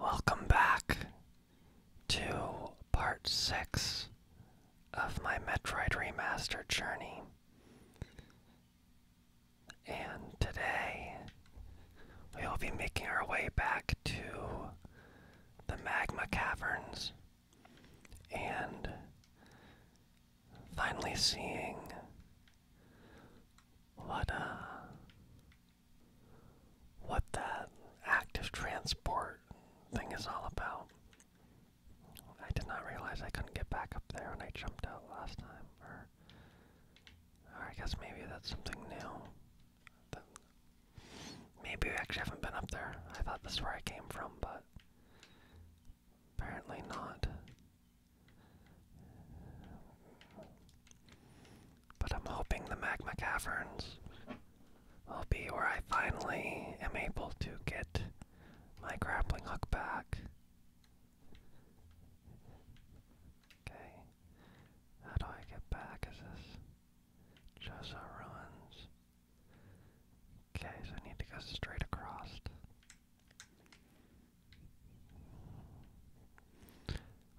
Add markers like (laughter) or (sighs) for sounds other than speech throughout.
Welcome back to part 6 of my Metroid Remaster journey. And today we will be making our way back to the Magma Caverns and finally seeing what uh, what that active transport thing is all about. I did not realize I couldn't get back up there when I jumped out last time, or, I guess maybe that's something new. maybe we actually haven't been up there. I thought this is where I came from, but apparently not. But I'm hoping the magma caverns will be where I finally am able to get my grappling hook back. Okay. How do I get back? Is this just ruins? Okay, so I need to go straight across.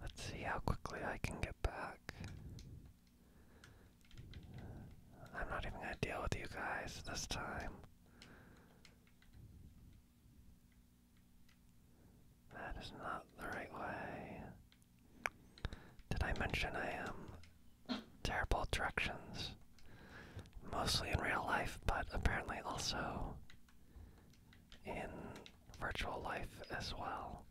Let's see how quickly I can get back. I'm not even gonna deal with you guys this time. That is not the right way. Did I mention I am terrible at directions? Mostly in real life, but apparently also in virtual life as well.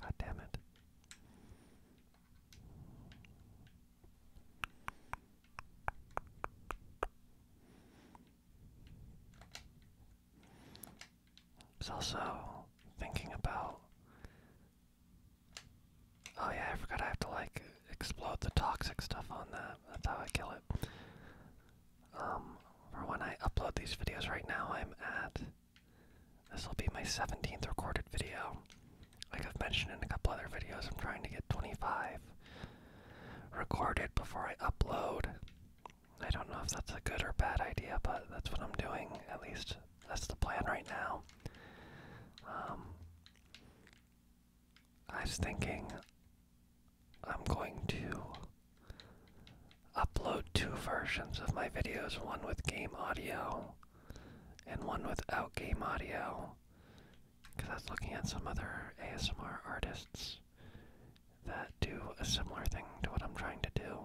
God damn it. I was also thinking about. Oh, yeah, I forgot I have to like explode the toxic stuff on that. That's how I kill it. Um, for when I upload these videos right now, I'm at. This will be my 17th recorded video. Like I've mentioned in a couple other videos, I'm trying to get 25 recorded before I upload. I don't know if that's a good or bad idea, but that's what I'm doing. At least that's the plan right now. Um, I was thinking I'm going to upload two versions of my videos one with game audio and one without game audio. Because I was looking at some other ASMR artists that do a similar thing to what I'm trying to do.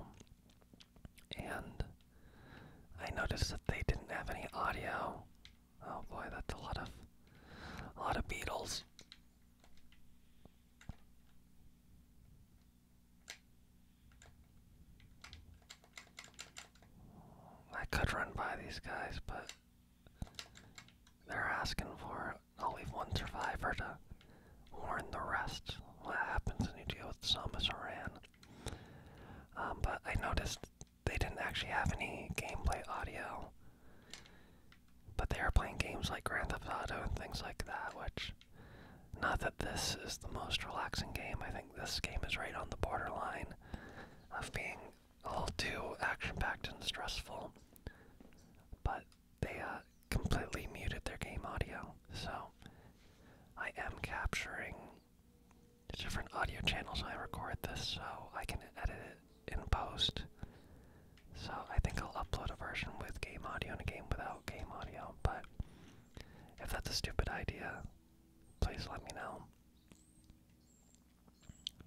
And I noticed that they didn't have any audio Oh boy, that's a lot of a lot of beetles. I could run by these guys, but they're asking for only one survivor to warn the rest what happens when you deal with Samus Aran. Um, but I noticed they didn't actually have any gameplay audio but they are playing games like Grand Theft Auto and things like that, which. Not that this is the most relaxing game, I think this game is right on the borderline of being all too action packed and stressful. But they uh, completely muted their game audio, so I am capturing different audio channels when I record this so I can edit it in post. So I think I'll upload a version with game audio and a game without game audio, but if that's a stupid idea, please let me know.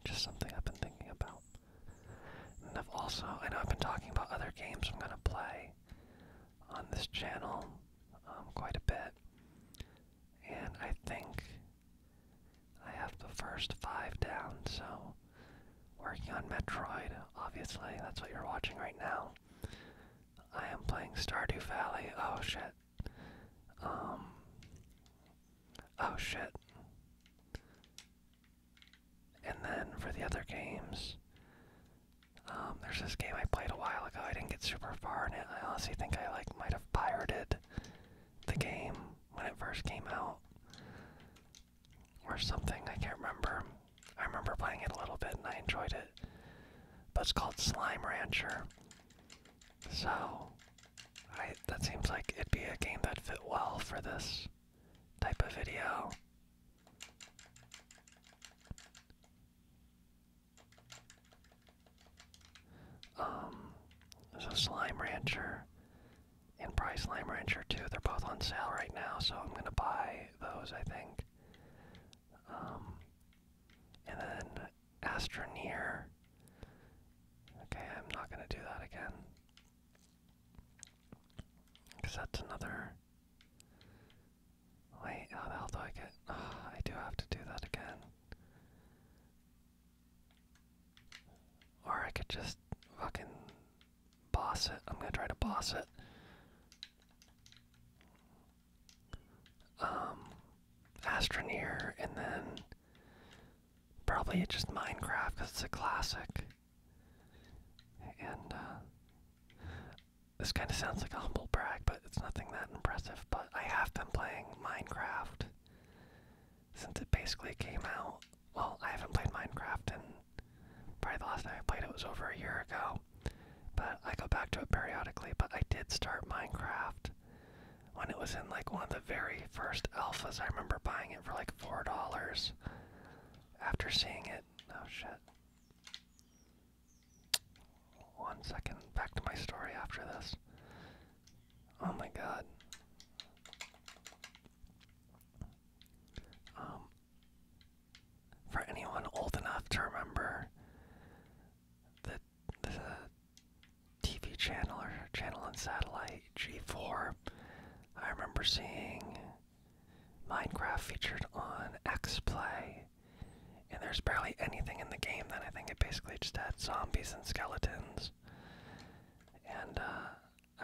Just something I've been thinking about. And I've also, I know I've been talking about other games I'm gonna play on this channel um, quite a bit, and I think I have the first five down, so working on Metroid, obviously, that's what you're watching right now. I am playing Stardew Valley. Oh shit. Um Oh shit. And then for the other games, um, there's this game I played a while ago. I didn't get super far in it. I honestly think I like might have pirated the game when it first came out or something. I can't remember. I remember playing it a little bit and I enjoyed it. But it's called Slime Rancher. So, I, that seems like it'd be a game that fit well for this type of video. Um, so Slime Rancher and Price Lime Rancher too. They're both on sale right now, so I'm gonna buy those. I think. Um, and then Astroneer. Okay, I'm not gonna do that again. Cause that's another. Wait, how the hell do I get? I do have to do that again. Or I could just fucking boss it. I'm gonna try to boss it. Um, Astroneer, and then probably just Minecraft because it's a classic. And uh, this kind of sounds like a humble brag, but it's nothing that impressive. But I have been playing Minecraft since it basically came out well, I haven't played Minecraft, and probably the last time I played it was over a year ago. But I go back to it periodically. But I did start Minecraft when it was in like one of the very first alphas. I remember buying it for like four dollars. After seeing it, oh shit. One second, back to my story after this. Oh my god. Um, for anyone old enough to remember the, the TV channel or channel on satellite G4, I remember seeing Minecraft featured on X Play, and there's barely anything in the game then. I think it basically just had zombies and skeletons and uh,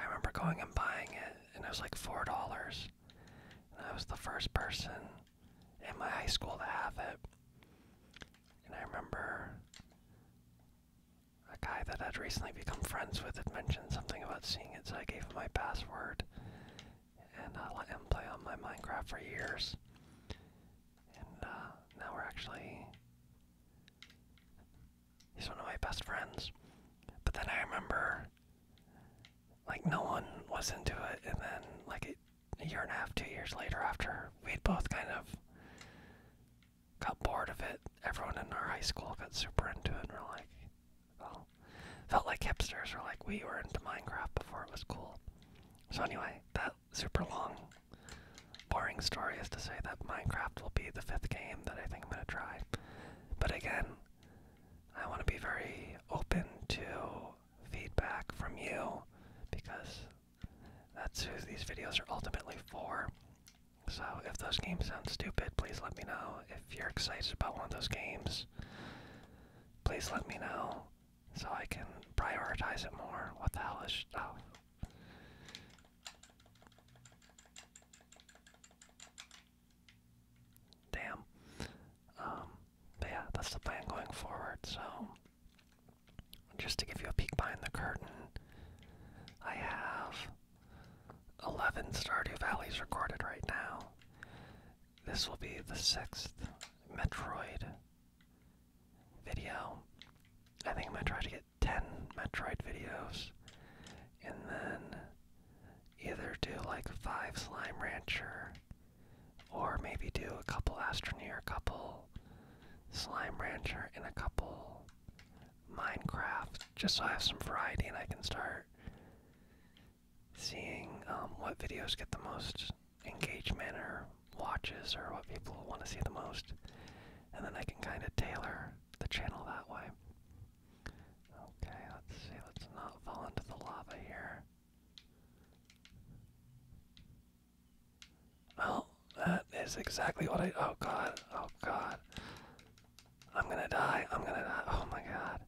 I remember going and buying it, and it was like four dollars. And I was the first person in my high school to have it. And I remember a guy that I'd recently become friends with had mentioned something about seeing it, so I gave him my password, and I uh, let him play on my Minecraft for years. And uh, now we're actually He's one of my best friends. But then I remember, like, no one was into it, and then, like, a, year and a half, two years later, after we'd both kind of got bored of it, everyone in our high school got super into it, and we're like, well, felt like hipsters, were like we were into Minecraft before it was cool. So, anyway, that super long boring story is to say that Minecraft will be the fifth game that I think I'm gonna try. But again, I want to be very open to feedback from you because that's who these videos are ultimately for. So if those games sound stupid, please let me know. If you're excited about one of those games, please let me know so I can prioritize it more. What the hell is. Oh. Damn. Um, yeah, that's the plan going forward. So, just to give you a peek behind the curtain, I have 11 Stardew Valleys recorded right now. This will be the sixth Metroid video. I think I'm gonna try to get 10 Metroid videos and then either do like 5 Slime Rancher or maybe do a couple Astroneer, a couple Slime Rancher, and a couple Minecraft just so I have some variety and I can start seeing um, what videos get the most engagement or watches or what people want to see the most. And then I can kind of tailor the channel that way. Okay, let's see. Let's not fall into the lava here. Well, that is exactly what I. Oh god. Oh god. I'm gonna die. I'm gonna die. Oh my god.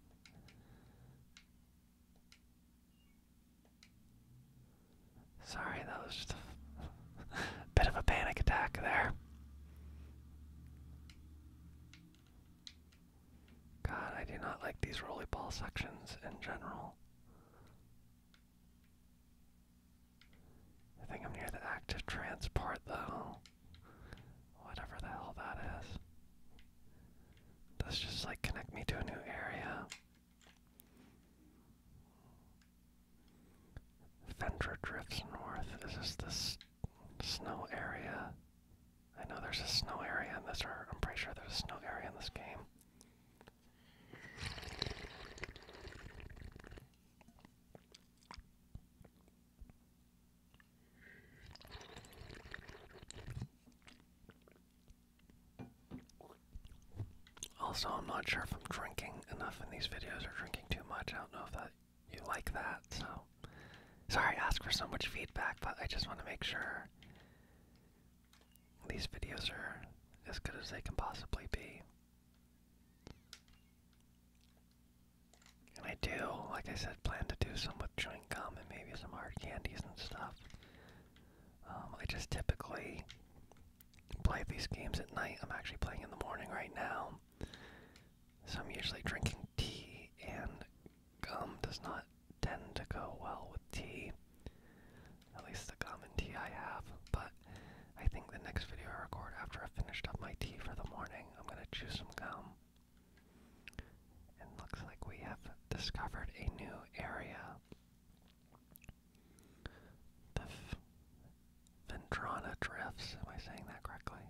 Sorry, that was just a (laughs) Bit of a panic attack there. God, I do not like these rolly ball sections in general. I think I'm near the active transport though. Whatever the hell that is. Does just like connect me to a new area. Fendra drifts north. This Is this snow area? I know there's a snow area in this, I'm pretty sure there's a snow area in this game. Also, I'm not sure if I'm drinking enough in these videos or drinking too much. I don't know if that you like that, so sorry I ask for so much feedback, but I just want to make sure these videos are as good as they can possibly be. And I do, like I said, plan to do some with chewing gum and maybe some hard candies and stuff. Um, I just typically play these games at night. I'm actually playing in the morning right now. So I'm usually drinking tea, and gum does not tend to go well with tea. At least the gum and tea I have. But I think the next video I record after i finished up my tea for the morning, I'm going to chew some gum. And looks like we have discovered a new area. The F Ventrana drifts. Am I saying that correctly?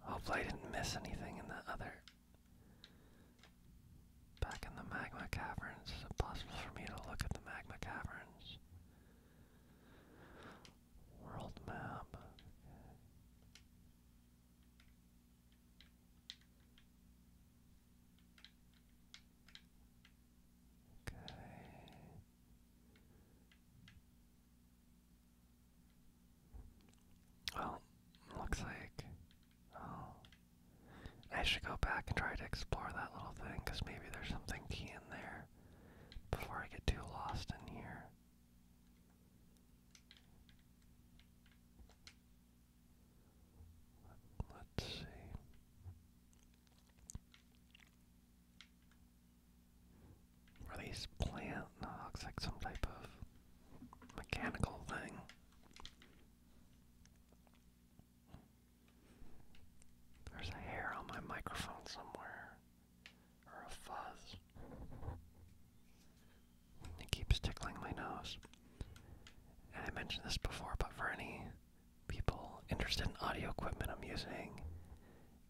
Hopefully, I didn't miss anything in the other. Back in the magma caverns. Is it possible for me to look at the magma caverns? World map. Okay. Well, looks like oh, I should go back and try to explore that little thing because maybe there's something key in there before I get too lost in here. Let's see. Are these plant? looks like some type of mechanical thing. There's a hair on my microphone somewhere, or a fuzz. It keeps tickling my nose. And I mentioned this before, but for any people interested in audio equipment, I'm using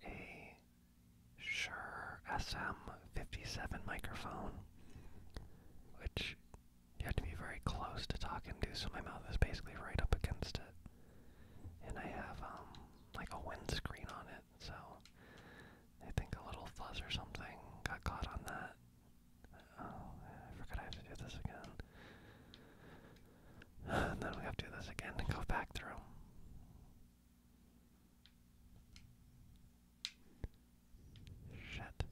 a Shure SM57 microphone, which you have to be very close to talk into, so my mouth is basically right up against it. And I have um, like a windscreen on it, so I think a little fuzz or something got caught on that. Oh, I forgot I have to do this again. (sighs) then we have to do this again and go back through. Shit.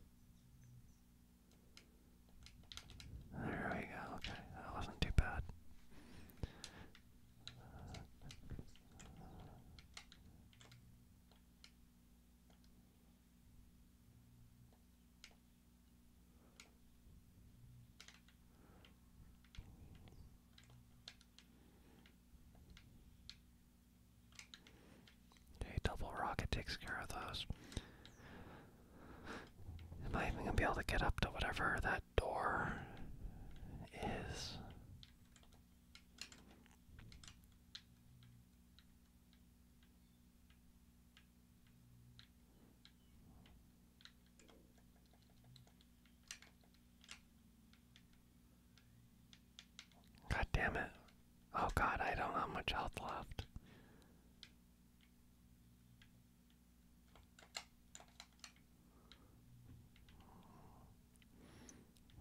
There we go, okay, that wasn't too bad. Okay, double rocket takes care of those. Am I even gonna be able to get up to whatever that door is? God damn it. Oh god, I don't have much health left.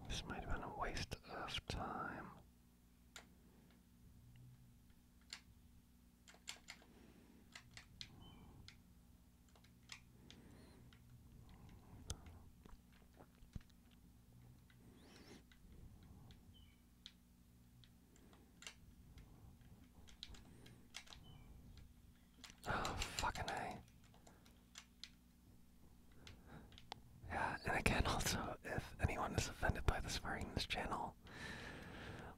This might have been a waste of time. Oh, fucking A. Yeah, and again, also, if anyone is offended by this, swearing in this channel,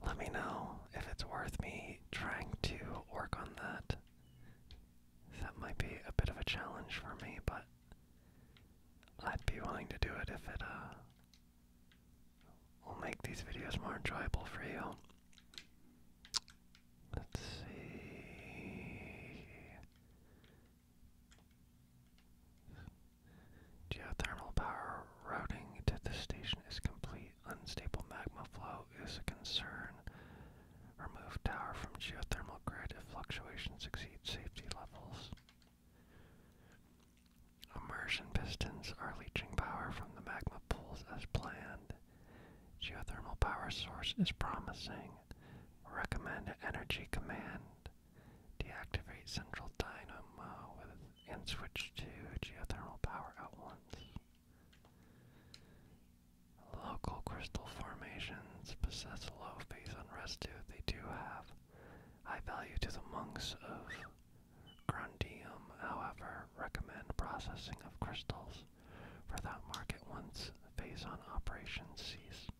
let me know if it's worth me trying to work on that. That might be a bit of a challenge for me, but I'd be willing to do it if it uh will make these videos more enjoyable for you. Let's see. Geothermal power routing to the station is complete. Unstable magma flow is a concern. Remove tower from geothermal grid if fluctuations exceed safety levels. Immersion pistons are leaching power from the magma pools as planned. Geothermal power source is promising. Recommend energy command. Deactivate central dynamo and switch to geothermal power at once. Local crystal formations possess low phase unrest too. They do have high value to the monks of Grundium, however, recommend processing of crystals for that market once phase on operations cease.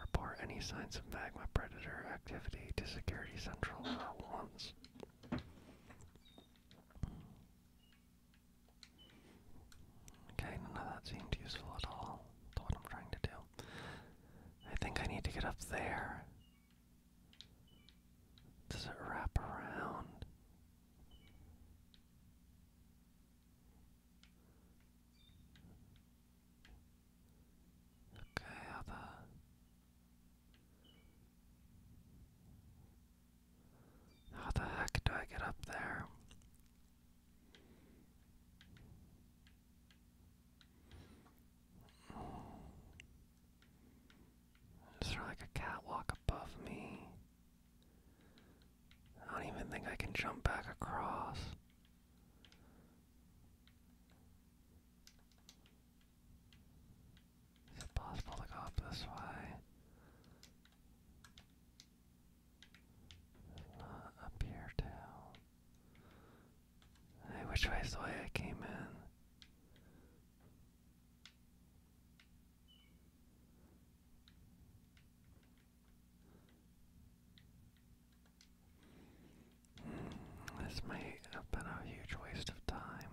Report any signs of magma predator activity to Security Central at once. Okay, none of that seemed useful at all to what I'm trying to do. I think I need to get up there. Does it wrap around? Okay, other How the heck do I get up there? Is there like a catwalk above me? I don't even think I can jump back across. Is it possible to go this way? not up here too. Hey, which way is the way I came in? Mm, this may have been a huge waste of time.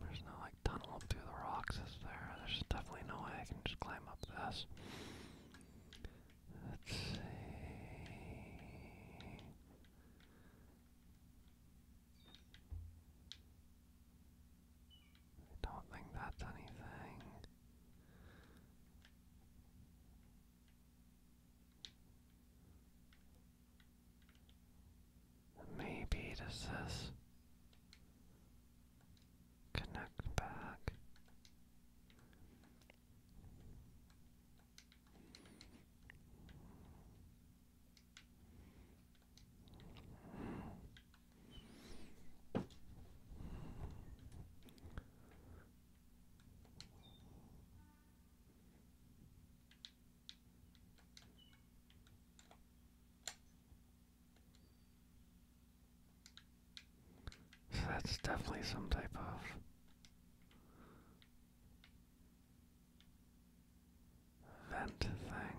There's no like tunnel through the rocks, is there? There's definitely no way I can just climb up this. Let's see. I don't think that's anything. Maybe does this connect back? So that's definitely some type of. Vent thing.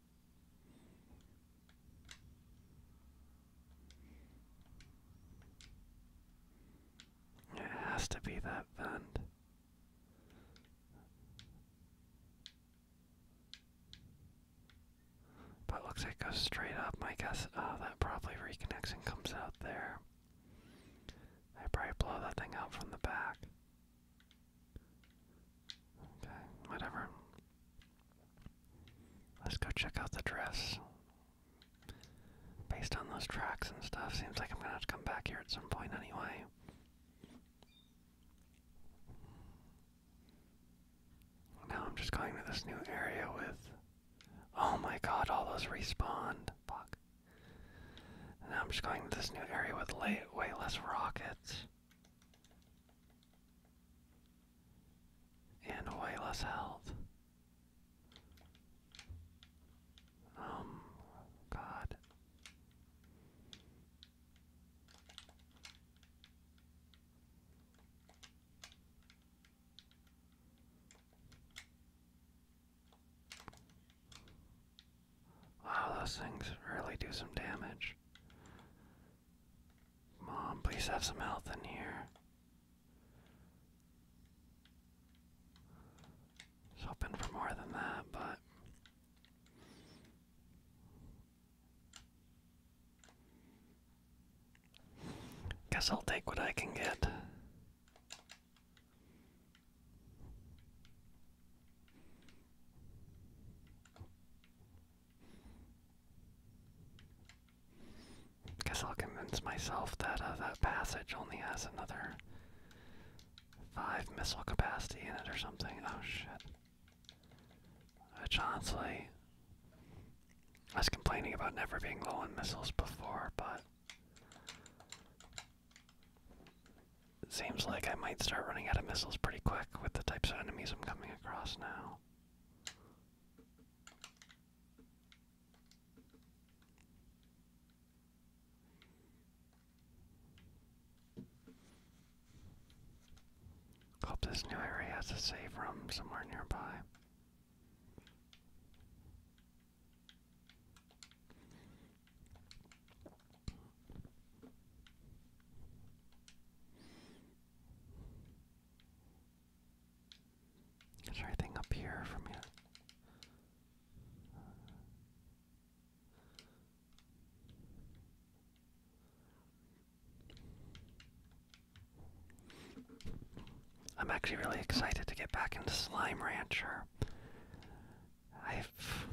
It has to be that vent. But looks it goes straight up. My guess, oh, that probably reconnects and comes out there. I probably blow that thing out from the back. Okay, whatever. Let's go check out the dress. Based on those tracks and stuff, seems like I'm gonna have to come back here at some point anyway. Now I'm just going to this new area with. Oh my god, all those respawned. Fuck. now I'm just going to this new area with weightless rockets and way less health. Um, God. Wow, those things really do some damage. Mom, please have some health in here. hoping for more than that, but. Guess I'll take what I can get. Guess I'll convince myself that uh, that passage only has another five missile capacity in it or something. Oh shit. Which honestly, I was complaining about never being low on missiles before, but it seems like I might start running out of missiles pretty quick with the types of enemies I'm coming across now. Hope this new area has a safe room somewhere nearby. Is there up here from here? I'm actually really excited to get back into Slime Rancher. I've.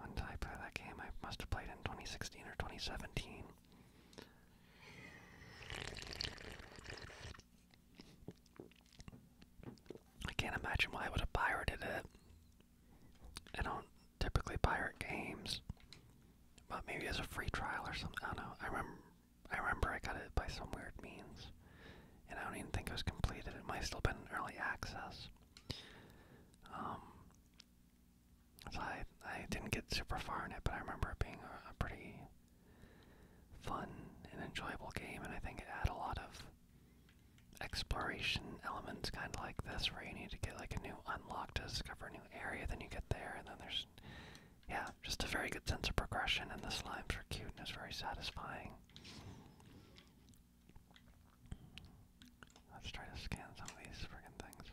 When I play that game? I must have played in 2016 or 2017. I can't imagine why I would have pirated it. I don't typically pirate games, but maybe as a free trial or something. I don't know. I remember, I remember I got it by some weird means, and I don't even think it was completed. It might still be in early access. Um, so I I didn't get super far in it, but I remember it being a, pretty fun and enjoyable game, and I think it had a lot of exploration elements, kind of like this, where you need to get like a new unlock to discover a new area, then you get there, and then there's yeah, just a very good sense of progression, and the slimes were cute and it's very satisfying. Let's try to scan some of these freaking things.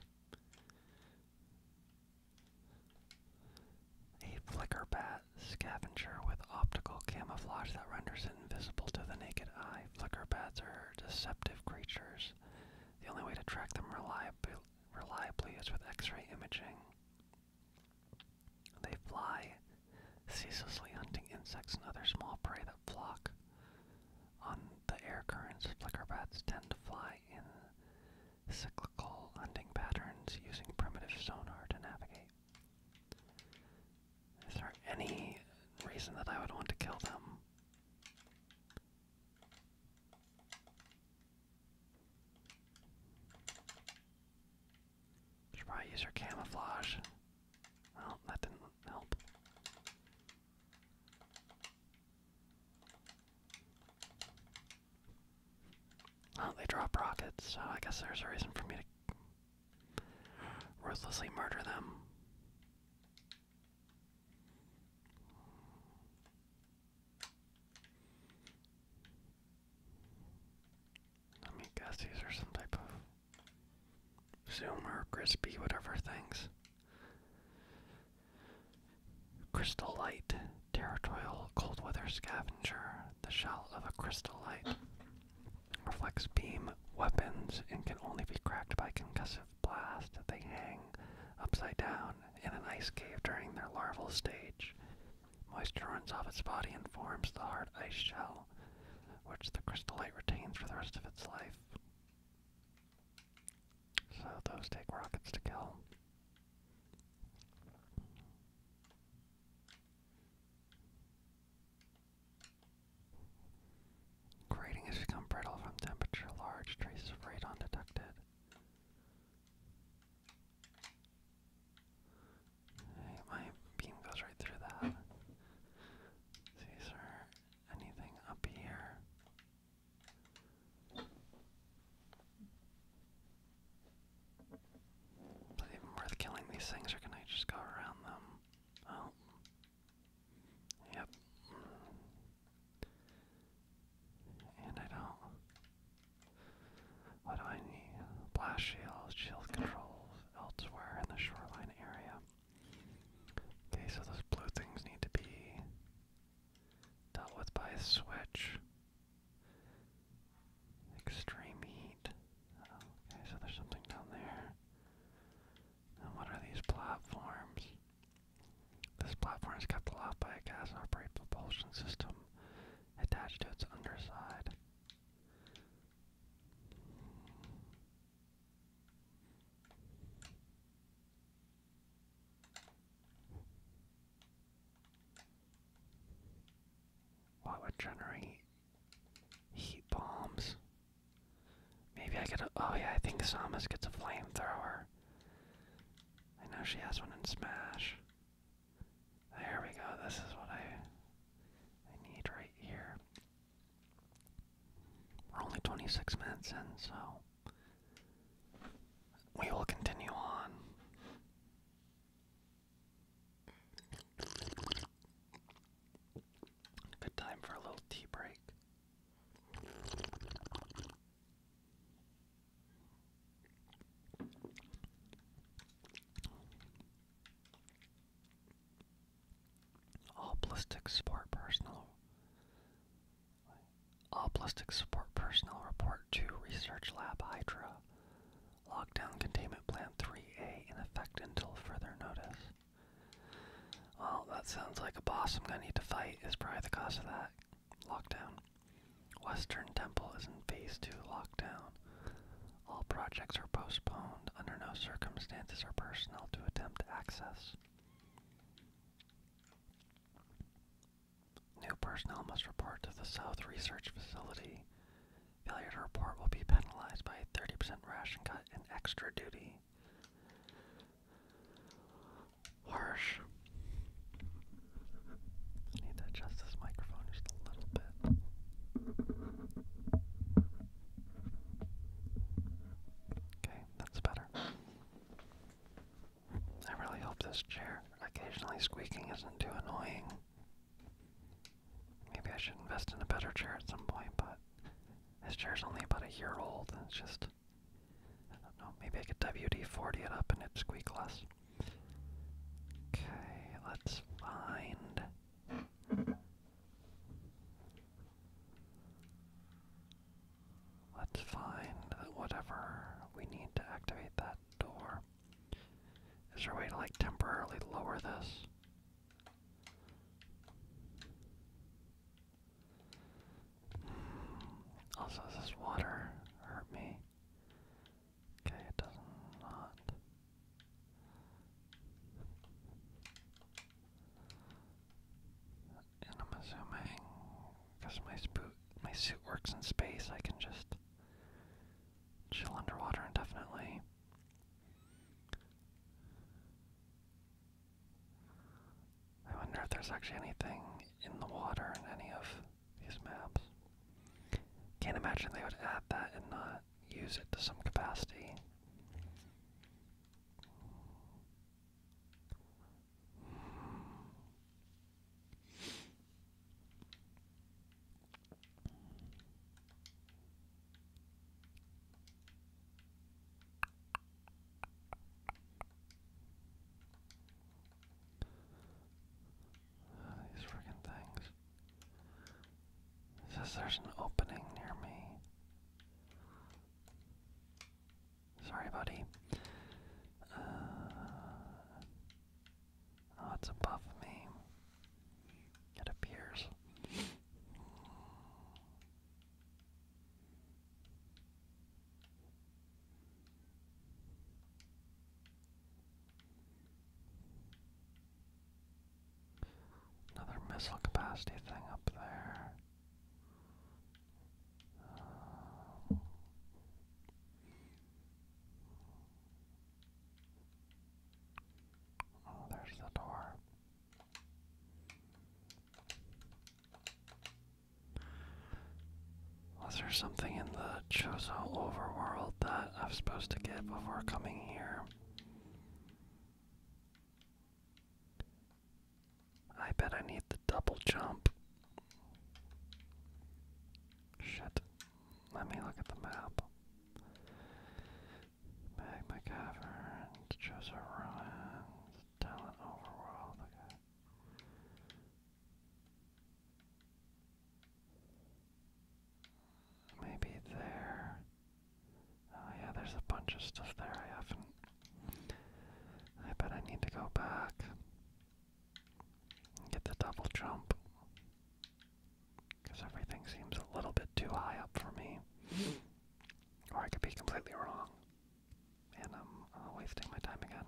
A flicker bat scavenger with optical camouflage that renders it invisible to the naked eye. Flicker bats are deceptive creatures. The only way to track them reliably, reliably is with x ray imaging. They fly, ceaselessly hunting insects and other small prey that flock on the air currents, flicker bats tend to fly in cyclical hunting patterns using primitive sonar to navigate. Is there any reason that I would want to kill them? Should probably use her camouflage. Well, that didn't help. Well, they drop rockets, I guess there's a reason for me to ruthlessly murder them. Let me guess these are some type of Zoom or crispy, whatever things. Crystal light, territorial cold weather scavenger. The shell of a crystal light reflects beam weapons and can only be cracked by concussive blast. They hang upside down in an ice cave during their larval stage. Moisture runs off its body and forms the hard ice shell, which the crystallite retains for the rest of its life. So those take rockets to kill. Grating has become brittle from temperature. Large traces of radon detected. my beam goes right through that. See, is anything up here? Is it even worth killing these things, or can I just go around them? Oh. Yep. And I don't. What do I need? Blast shield, shield controls elsewhere in the shoreline area. Okay, so those blue things need to be dealt with by a switch. Extreme heat. Oh, okay, so there's something down there. And what are these platforms? This platform is kept aloft by a gas-operated propulsion system attached to its underside. What would generate heat bombs? Maybe I get a. Oh, yeah, I think Samus gets a flamethrower. I know she has one in Smash. There we go, this is what I, I need right here. We're only 26 minutes in, so we will continue on. Good time for a little tea break. All ballistic sport personal all ballistic support personnel report to Research Lab Hydra. Lockdown containment plan 3A in effect until further notice. Well, that sounds like a boss I'm gonna need to fight is probably the cause of that. Lockdown. Western Temple is in phase 2 lockdown. All projects are postponed. Under no circumstances or personnel to attempt access. New personnel must report to the South Research Facility. Failure to report will be penalized by a 30% ration cut and extra duty. Harsh. I need to adjust microphone just a little bit. Okay, that's better. I really hope this chair occasionally squeaking isn't too annoying. Maybe I should invest in a better chair at some point, but this chair's only about a year old, it's just. I don't know, maybe I could WD-40 it up and it'd squeak less. Okay, let's find Let's find whatever we need to activate that door. Is there a way to like temporarily lower this? Hmm. Also, does this water hurt me? Okay, it does not. And I'm assuming, because my, my suit works in space, I can just chill underwater indefinitely. I wonder if there's actually anything in the water in any of these maps. Can't imagine they would add that and not use it to some capacity these freaking things. says there's an opening near me. Sorry, buddy. Uh, oh, it's above me. It appears. Another missile capacity thing up there oh, there's the door. Was there something in the Chozo overworld that i was supposed to get before coming here? I bet I need the double jump. Shit. Let me look at the map. Magma Caverns, Joseph Ruins, Talent Overworld, okay. Maybe there. Oh yeah, there's a bunch of stuff there I haven't I bet I need to go back get the double jump. Because everything seems a little bit too high up for me. Mm-hmm. or I could be completely wrong. And I'm uh, wasting my time again.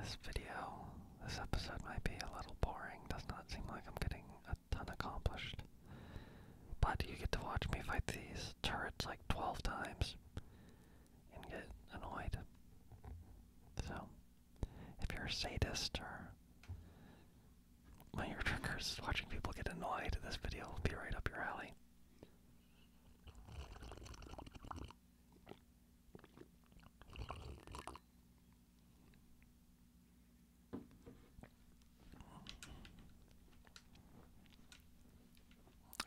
This video, this episode might be a little boring. Does not seem like I'm getting a ton accomplished. But you get to watch me fight these turrets like 12 times and get annoyed. So, if you're a sadist or my ear triggers watching people get annoyed, this video will be right up your alley.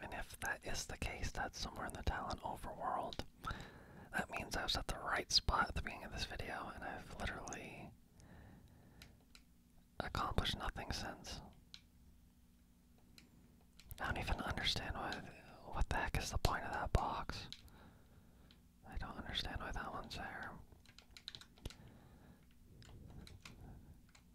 And if that is the case, that's somewhere in the Talon overworld. That means I was at the right spot at the beginning of this video, and I've literally accomplished nothing since. I don't even understand why. What the heck is the point of that box? I don't understand why that one's there.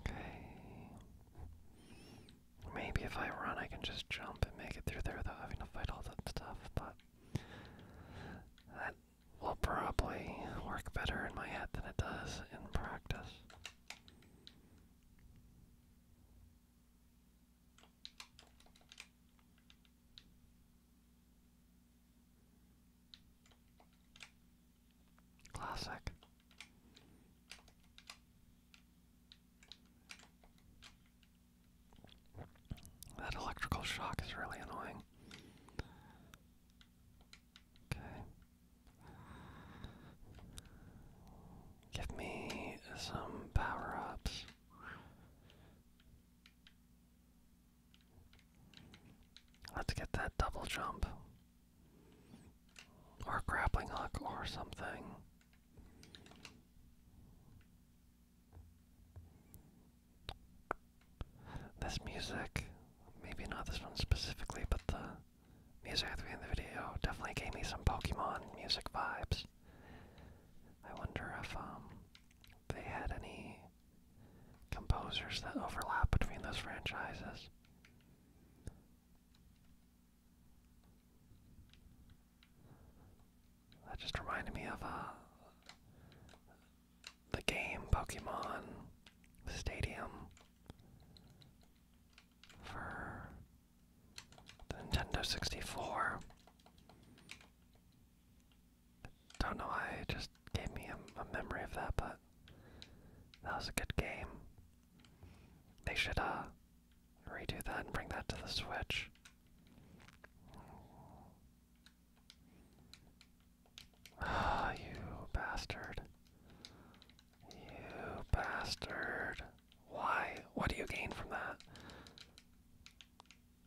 Okay. Maybe if I run, I can just jump and make it through there without having to fight all that stuff, but that will probably work better in my head than it does in practice. Classic. That electrical shock is really annoying. Okay. Give me some power ups. Let's get that double jump. Or grappling hook or something. This music, maybe not this one specifically, but the music at the end of the video definitely gave me some Pokemon music vibes. I wonder if um, they had any composers that overlap between those franchises. That just reminded me of uh, the game Pokemon Stadium for the Nintendo 64. Don't know why it just gave me a, memory of that, but that was a good game. They should uh, redo that and bring that to the Switch. Ah, you bastard. You bastard. Why? What do you gain from that?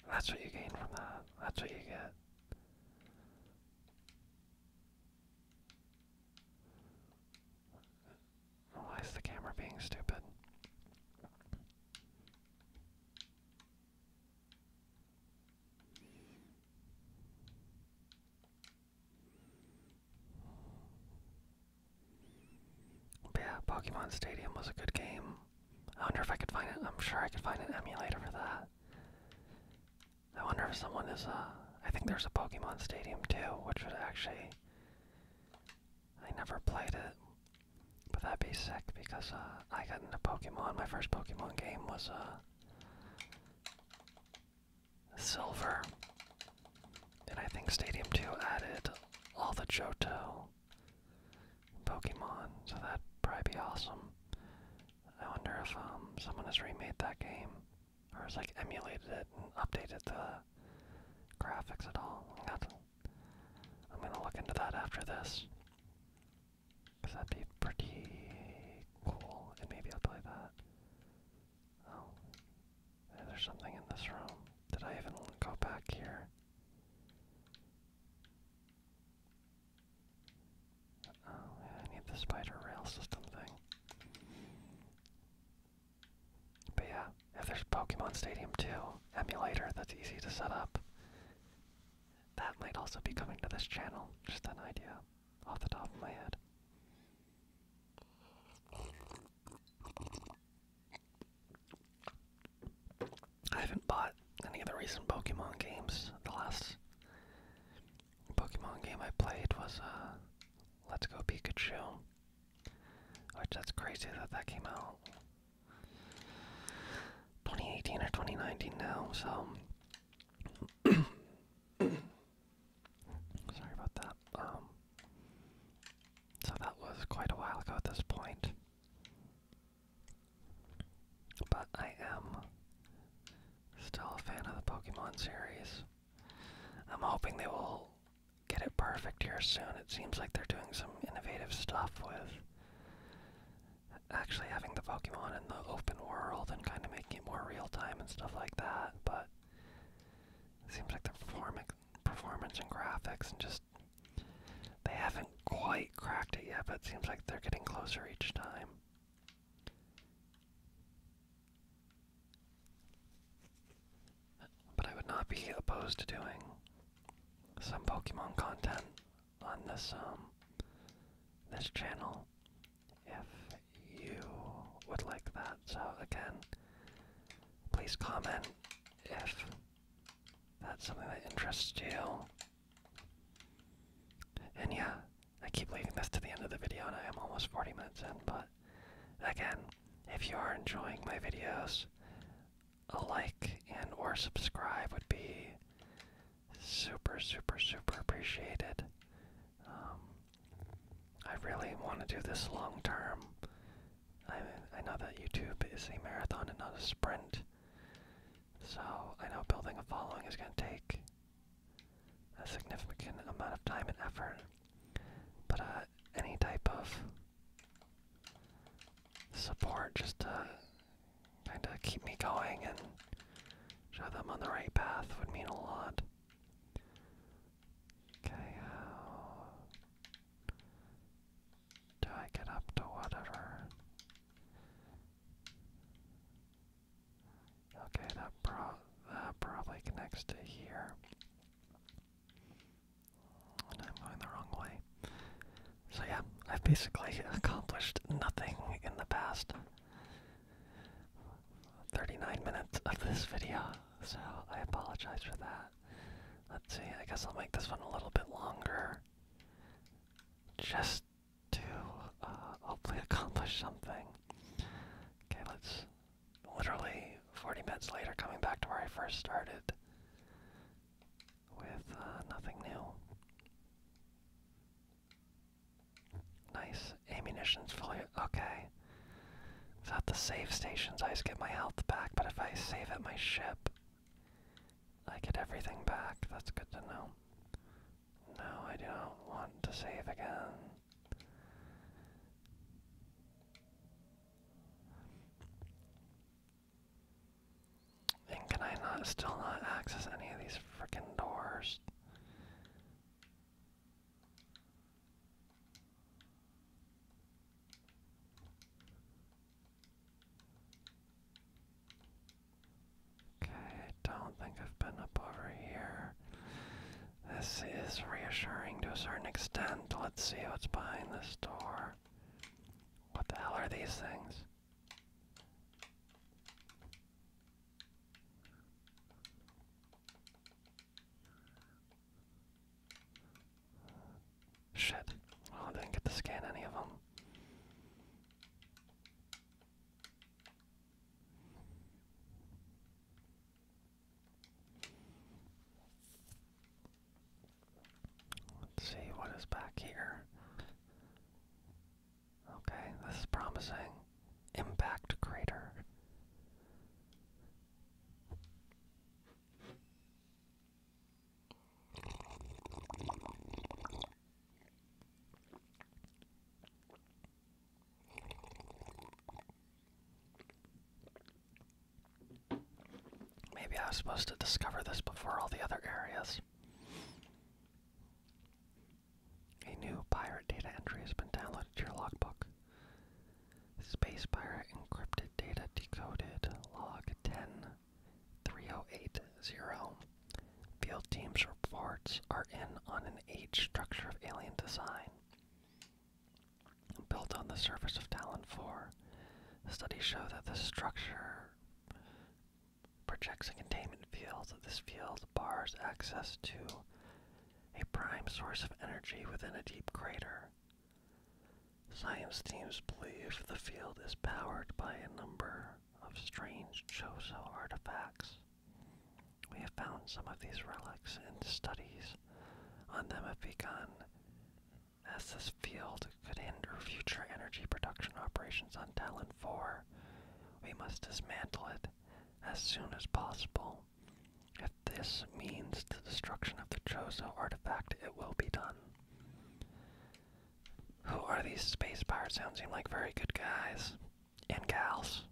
That's what you gain from that. That's what you get. Why is the camera being stupid? yeah, Pokemon Stadium was a good game. I wonder if I could find it. I'm sure I could find an emulator for that. I wonder if someone is, uh, I think there's a Pokemon Stadium too, which would actually, I never played it, but that'd be sick because, uh, I got into Pokemon, my first Pokemon game was, a. Uh, Silver, and I think Stadium 2 added all the Johto Pokemon, so that'd probably be awesome. I wonder if um, someone has remade that game, or has like emulated it and updated the graphics at all. I'm gonna look into that after this, cause that'd be pretty cool, and maybe I'll play that. Oh, there's something in this room. Did I even go back here? Oh, I need the spider rail system thing. But yeah, if there's Pokemon Stadium 2 emulator that's easy to set up, that might also be coming to this channel. Just an idea off the top of my head. I haven't bought any of the recent Pokemon games the last Pokemon game I played was a uh, Let's Go Pikachu, which that's crazy that that came out 2018 or 2019 now. So (coughs) sorry about that. Um, so that was quite a while ago at this point. But I am still a fan of the Pokemon series. I'm hoping they will get it perfect here soon. It seems like they're doing some innovative stuff with actually having the Pokemon in the open world and kind of making it more real time and stuff like that. But it seems like the perform performance and graphics and just they haven't quite cracked it yet, but it seems like they're getting closer each time. But I would not be opposed to doing some Pokemon content on this um this channel if you would like that. So again, please comment if that's something that interests you. And yeah, I keep leaving this to the end of the video and I am almost 40 minutes in, but again, if you are enjoying my videos, a like and or subscribe would be super, super, super appreciated. Um, I really want to do this long term. I, I know that YouTube is a marathon and not a sprint, so I know building a following is going to take a significant amount of time and effort, but uh, any type of support just to kind of keep me going and show them on the right path would mean a lot. Okay, how do I get up to whatever? Okay, that pro that probably connects to here. I'm going the wrong way. So yeah, I've basically (laughs) accomplished nothing in the past 39 minutes of this video, so I apologize for that. Let's see, I guess I'll make this one a little bit longer. Just to uh, hopefully accomplish something. Okay, let's literally 40 minutes later coming back to where I first started with uh, nothing new. Nice. Ammunition's fully. Okay. Without the save stations, I just get my health back, but if I save at my ship, I get everything back. That's good to know. No, I do not want to save again. And can I not still not access any of these frickin' doors? Okay, I don't think I've been up over here. This is reassuring to a certain extent. Let's see what's behind this door. What the hell are these things? Shit. I didn't get to scan any of them. Let's see what is back here. Okay, this is promising. Impact crater. Maybe I was supposed to discover this before all the other areas. A new pirate data entry has been downloaded to your logbook. Space pirate encrypted data decoded log 10 Field teams' reports are in on an age structure of alien design. Built on the surface of Talon 4, studies show that the structure projects a containment field. that This field bars access to a prime source of energy within a deep crater. Science teams believe the field is powered by a number of strange Chozo artifacts. We have found some of these relics in studies on them have begun, as this field could hinder future energy production operations on Talon 4. We must dismantle it as soon as possible. If this means the destruction of the Chozo artifact, it will be done. Who are these space pirates? Sound seem like very good guys and gals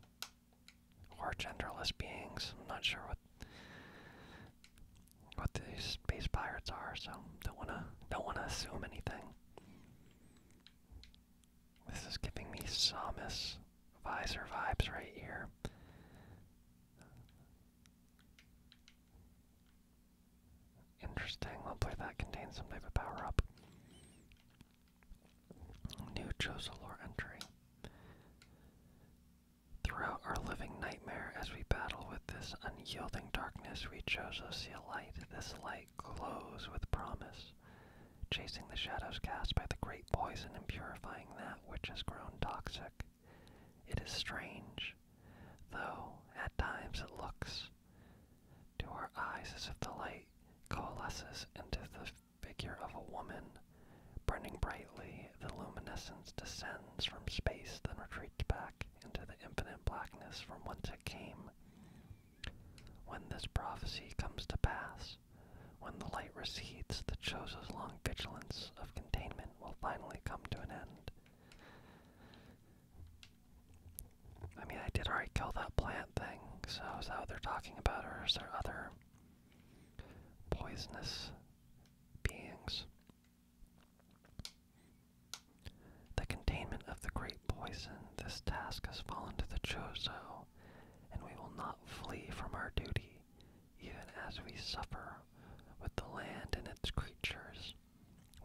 or genderless beings. I'm not sure what what these space pirates are, so don't wanna don't wanna assume anything. This is giving me Samus visor vibes right here. Interesting. Hopefully that contains some type of power up. New Josolor entry. Throughout our living nightmare, as we battle with this unyielding darkness, we to see a light. This light glows with promise, chasing the shadows cast by the great poison and purifying that which has grown toxic. It is strange, though at times it looks to our eyes, as if the light coalesces into the figure of a woman, burning brightly, the luminescence descends from space, then retreats back into the infinite blackness from whence it came. When this prophecy comes to pass, when the light recedes, the chosen's long vigilance of containment will finally come to an end. I mean, I did already kill that plant thing, so is that what they're talking about, or is there other poisonous beings? The containment of the great poison, this task has fallen to the Chozo, and we will not flee from our duty, even as we suffer with the land and its creatures.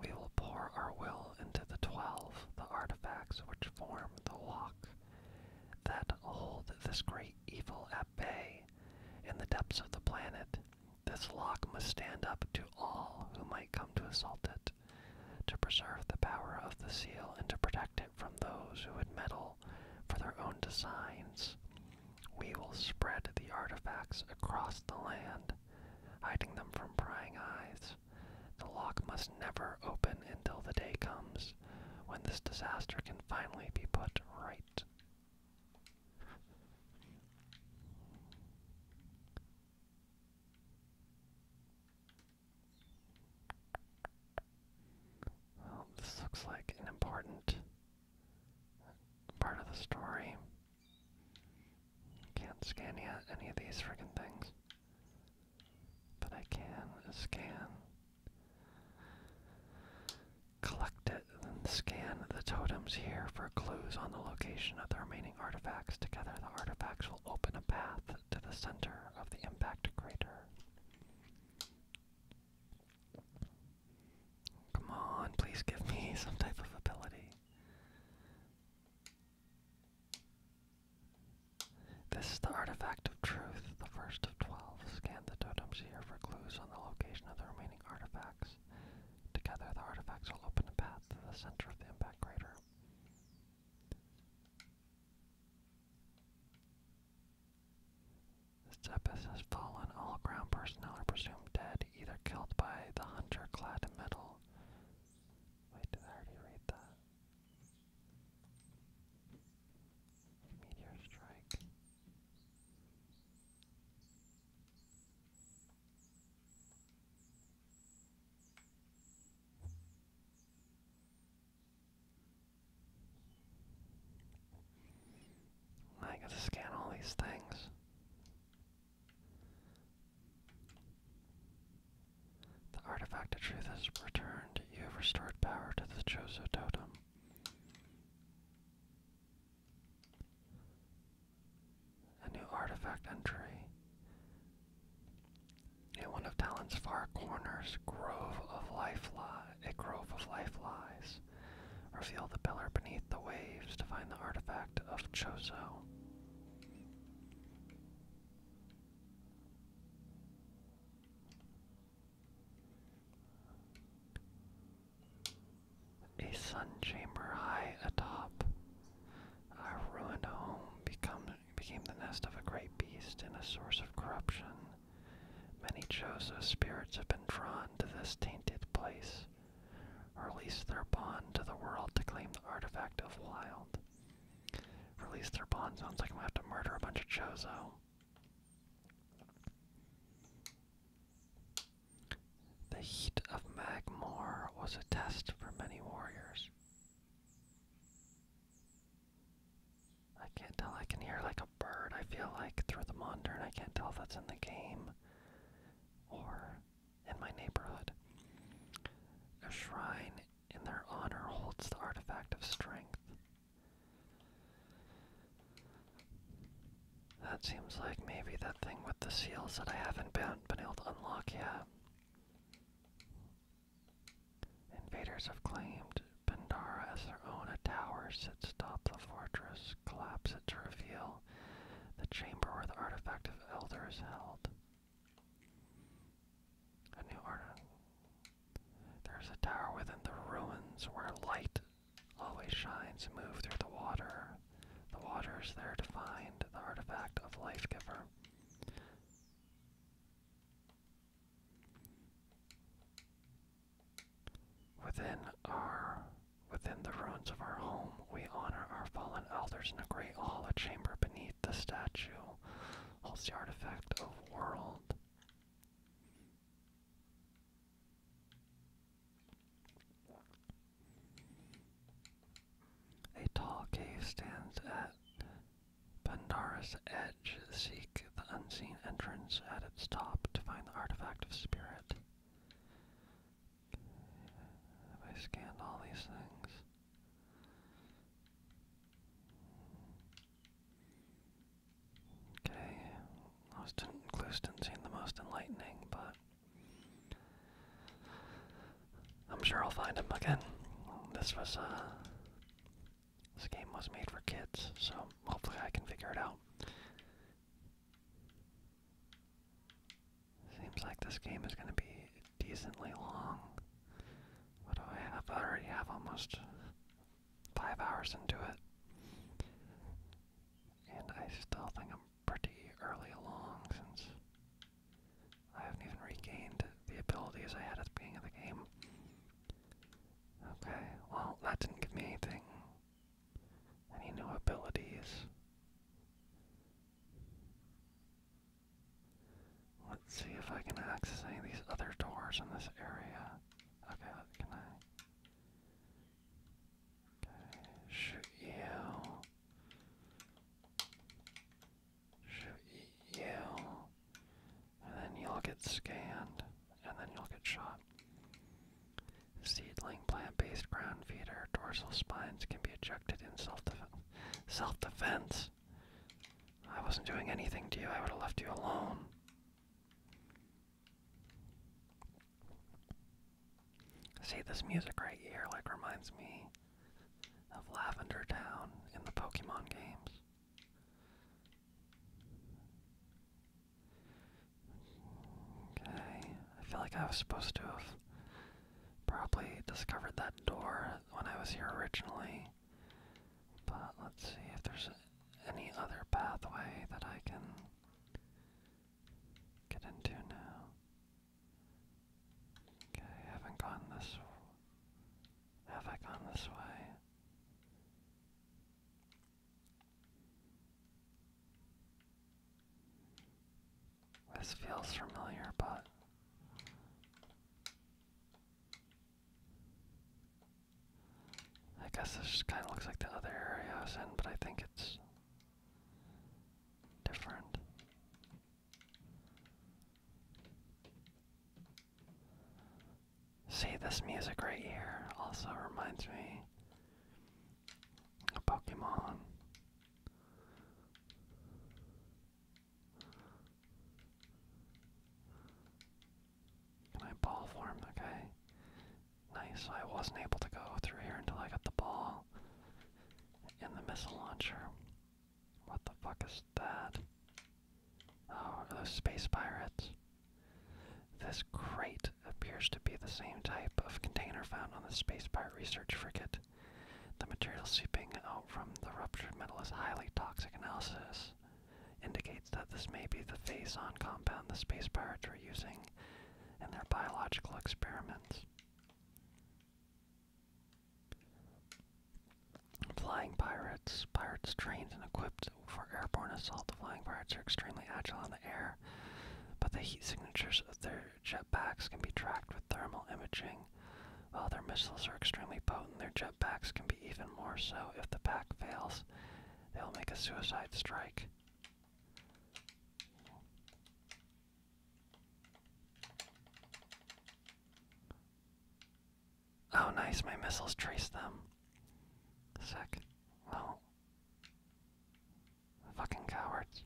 We will pour our will into the twelve, the artifacts which form the lock that hold this great evil at bay in the depths of the planet. This lock must stand up to all who might come to assault it, to preserve the power of the seal and to protect it from those who would meddle for their own designs. We will spread the artifacts across the land, hiding them from prying eyes. The lock must never open until the day comes when this disaster can finally be put right. Well, this looks like an important part of the story. Can't scan yet any of these friggin' things. But I can scan, collect it, and then scan the totems here for clues on the location of the remaining artifacts. Together, the artifacts will open a path to the center of the impact crater. Come on, please give me (laughs) some type of ability. This is the artifact of truth, the first of twelve. Scan the totems here for clues on the location of the remaining artifacts. Together, the artifacts will open a path to the center of the impact crater. Zeppes has fallen. All ground personnel are presumed dead, either killed by the hunter clad in metal. Wait, I already read that? Meteor strike. I gotta scan all these things. The artifact of truth has returned. You have restored power to the Chozo totem. A new artifact entry. In one of Talon's far corners, grove of life li a grove of life lies. Reveal the pillar beneath the waves to find the artifact of Chozo. A sun chamber high atop our ruined home became the nest of a great beast and a source of corruption. Many Joseph spirits have been drawn to this tainted place, or released their bond to the world to claim the artifact of wild. Release their pawn sounds like I'm gonna have to murder a bunch of Chozo. The heat of Magmore was a test for many warriors. I can't tell, I can hear like a bird, I feel like, through the monitor, and I can't tell if that's in the game or in my neighborhood. A shrine in their honor holds the artifact of strength. That seems like maybe that thing with the seals that I haven't been, able to unlock yet. Invaders have claimed Bendara as their own. A tower sits atop the fortress, collapse it to reveal the chamber where the artifact of elders held. A new art. There's a tower within the ruins where light always shines, move through the water. The water is there to find the artifact of life giver. Within our within the ruins of our home, we honor our fallen elders in a great hall, a chamber beneath the statue holds the artifact of world. A tall cave stands at Pandara's edge. Seek the unseen entrance at its top to find the artifact of spirit. Have I scanned all these things? Okay, I was did didn't seem the most enlightening, but I'm sure I'll find him again. This was a uh, this game was made for kids, so hopefully I can figure it out. Seems like this game is going to be decently long. What do I have? I already have almost five hours into it. And I still think I'm pretty early along since I haven't even regained the abilities I had at the beginning of the game. Okay, well, that didn't give me anything. Any new abilities? Let's see if I can access any of these other doors in this area. Okay, can I? shoot you. Shoot you. And then you'll get scanned. And then you'll get shot. Seedling plant-based ground feeder. Dorsal spines can be ejected in self-defense. Self-defense. I wasn't doing anything to you. I would have left you alone. See, this music right here, like, reminds me of Lavender Town in the Pokemon games. Okay, I feel like I was supposed to have probably discovered that door when I was here originally. But let's see if there's any other pathway that I can get into now. Okay, haven't gone this have I gone this way? This feels familiar, but I guess this kind of looks like the other area I was in, but I think it's different. See, this music right here also reminds me of Pokemon. Can I ball form? Okay. Nice. I wasn't able to go through here until I got the ball and the missile launcher. What the fuck is that? Oh, are those space pirates? This crate appears to be the same type of container found on the space pirate research frigate. The material seeping out from the ruptured metal is highly toxic. Analysis indicates that this may be the phazon compound the space pirates were using in their biological experiments. Flying pirates. Pirates trained and equipped for airborne assault. The flying pirates are extremely agile in the air, but the heat signatures of their jet packs can be tracked with thermal imaging. While their missiles are extremely potent, their jetpacks can be even more so. If the pack fails, they'll make a suicide strike. Oh, nice, my missiles trace them. Sick. Well. Fucking cowards.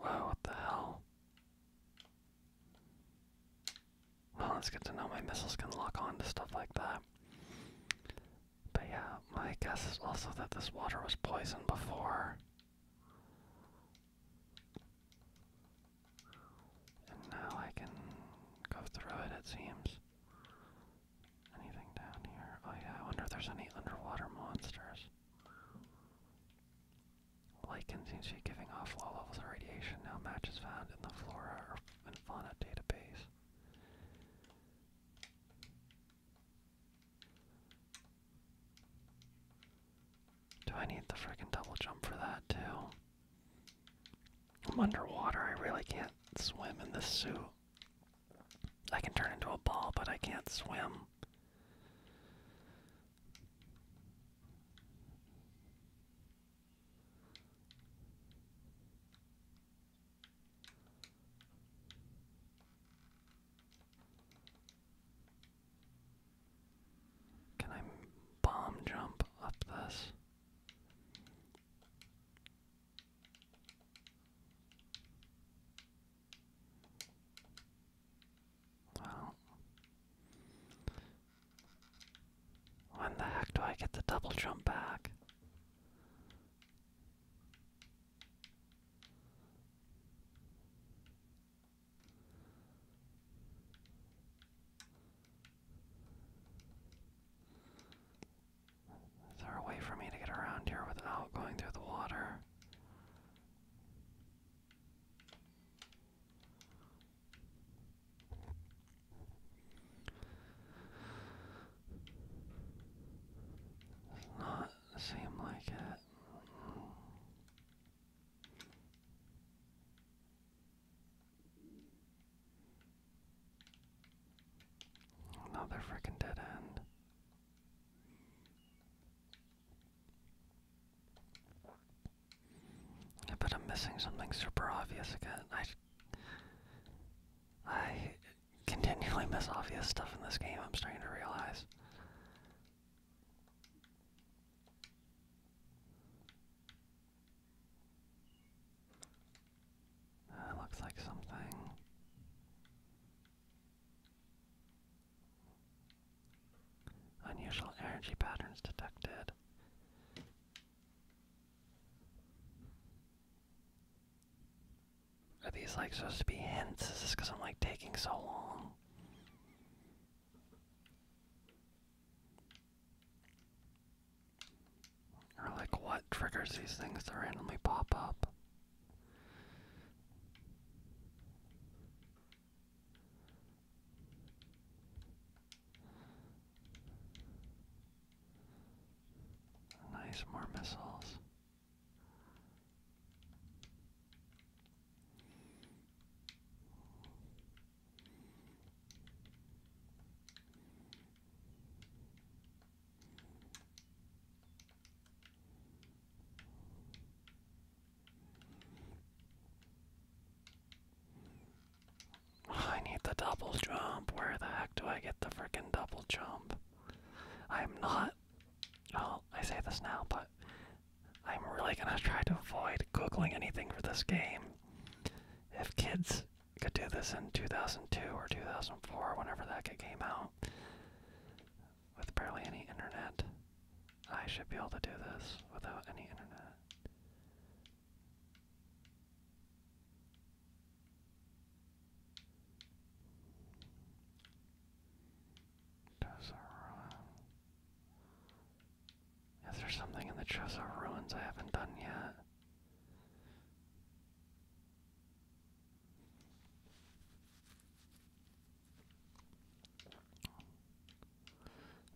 Wow, what the hell? Well, it's good to know my missiles can lock on to stuff like that. But yeah, my guess is also that this water was poisoned before. And now I can go through it, it seems. Anything down here? Oh, yeah, I wonder if there's any underwater monsters. Lichen seems to be giving off low levels of radiation. Now matches found in the flora and fauna database. Do I need the frickin' double jump for that too? I'm underwater, I really can't swim in this suit. I can turn into a ball, but I can't swim. Can I bomb jump up this? Well, when the heck do I get the double jump back? Is there a way for me to get around here without going through the water? Does not seem like it. Another freaking dead end. I I'm missing something super obvious again. I, I continually miss obvious stuff in this game, I'm starting to realize. That looks like something. Unusual energy patterns detected. Are these like supposed to be hints? Is this because I'm like taking so long? Or like what triggers these things to randomly pop up? Nice, more missiles. I need the double jump. Where the heck do I get the frickin' double jump? I'm not not. I say this now, but I'm really gonna try to avoid googling anything for this game. If kids could do this in 2002 or 2004, whenever that game came out, with barely any internet, I should be able to do this without any internet. Trezor Ruins. Is there something in the Trezor Ruins I haven't done yet?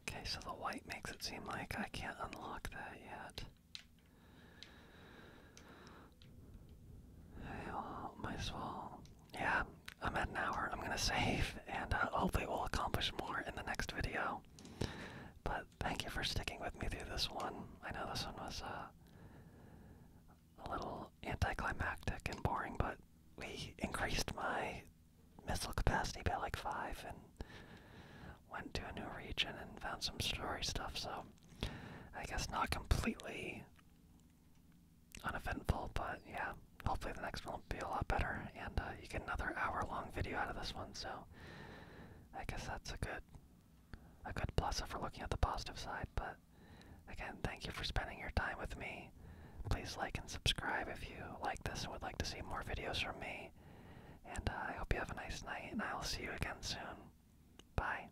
Okay, so the white makes it seem like I can't unlock that yet. I well, yeah, I'm at an hour. I'm gonna save, and uh, hopefully we'll accomplish more in the next video. But thank you for sticking with me through this one. I know this one was uh, a little anticlimactic and boring, but we increased my missile capacity by like five and went to a new region and found some story stuff. So I guess not completely uneventful, but yeah, hopefully the next one will be a lot better. And uh, you get another hour-long video out of this one, so I guess that's a good, a good plus if we're looking at the positive side. But again, thank you for spending your time with me. Please like and subscribe if you like this and would like to see more videos from me. And uh, I hope you have a nice night, and I will see you again soon. Bye.